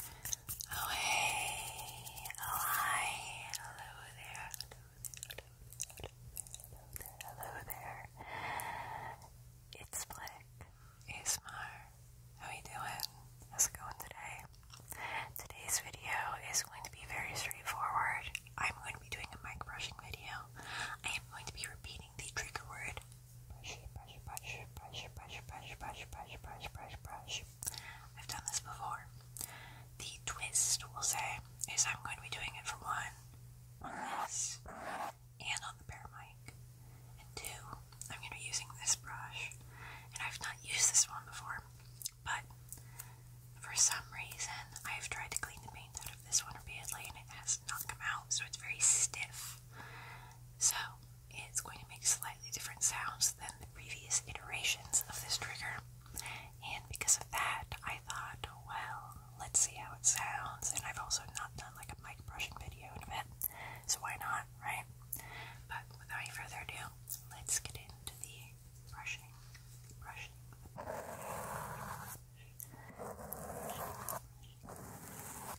Oh, hey, hi, hello there, hello there, hello there, It's Flick, How you doing? How's it going today? Today's video is going to be very straightforward. I'm going to be doing a mic brushing video. I am going to be repeating the trigger word brush, brush, brush, brush, brush, brush, brush, brush, brush, brush, brush. I've done this before. The twist, we'll say, is I'm going to be doing it for one, on this, and on the bear mic. And two, I'm going to be using this brush. And I've not used this one before, but for some reason, I've tried to clean the paint out of this one repeatedly and it has not come out, so it's very stiff. So, it's going to make slightly different sounds than the previous iterations of this trigger. And because of that, I thought, well, let's see how it sounds. And I've also not done like a mic brushing video in a bit, so why not, right? But without any further ado, let's get into the brushing. brushing.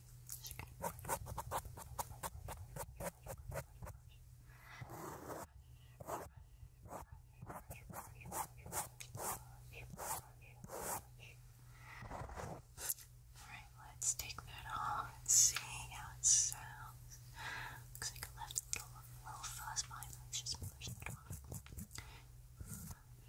Alright, let's take that off and see how it sounds. Looks like I left a little, little fuzz behind, let's just push that off.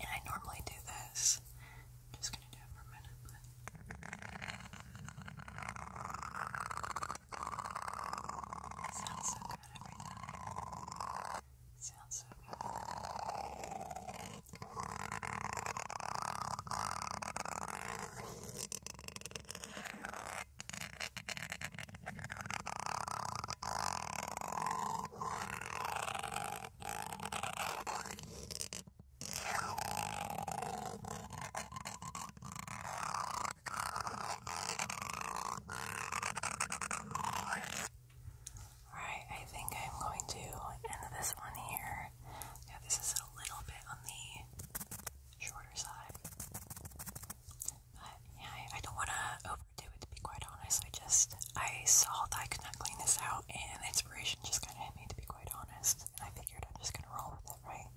And I normally do this. I'm just gonna do it for a minute, but it sounds so good every time. It sounds so good. Alright, I think I'm going to end this one here. Yeah, this is a little bit on the shorter side. But yeah, I, I don't want to overdo to be quite honest. I just, I saw that I could not clean this out, and inspiration just kind of hit me, to be quite honest. And I figured I'm just gonna roll with it, right?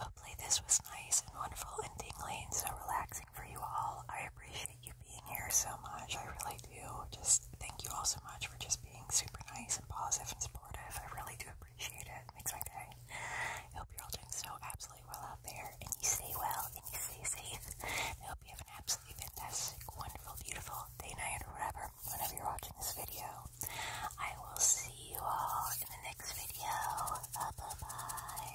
Hopefully, this was nice and wonderful and tingly and so relaxing for you all. I appreciate you being here so much. I really do. Just thank you all so much for just being super nice and positive and supportive. I really do appreciate it. makes my day. hope you're all doing so absolutely well out there, and you stay well, and you stay safe hope have an absolutely fantastic, wonderful, beautiful day, night, or whenever you're watching this video. I will see you all in the next video. Bye-bye.